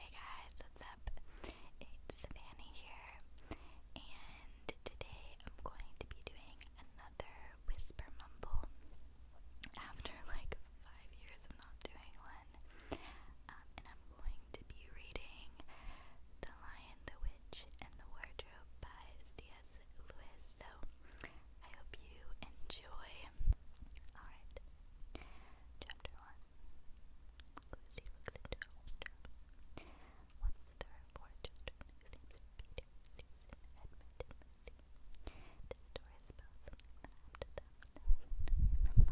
Hey guys, what's up? It's Savannah here, and today I'm going to be doing another whisper mumble. After like five years of not doing one, um, and I'm going to be reading The Lion, the Witch, and the Wardrobe by C.S. Lewis. So I hope you enjoy. Alright. Chapter 1 Once there were four children who seemed to be Peter, Susan, Edmund, and Lucy. This story is about something that happened to them on the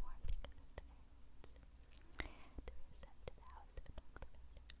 warm because of the errands. They were sent to the house of an old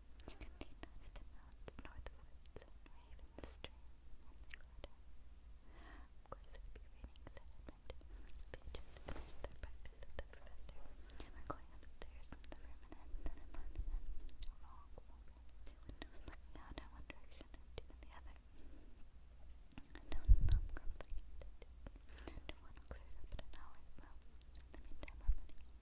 You can lead neither the woods, nor even the stream, Of course, it would be raining, They just finished breakfast with the professor. We're going upstairs in the room and then in my room. A long, long room with two windows looking out in one direction the other. I I'm grumbling, and no clear it up in an hour, so in the meantime, I'm running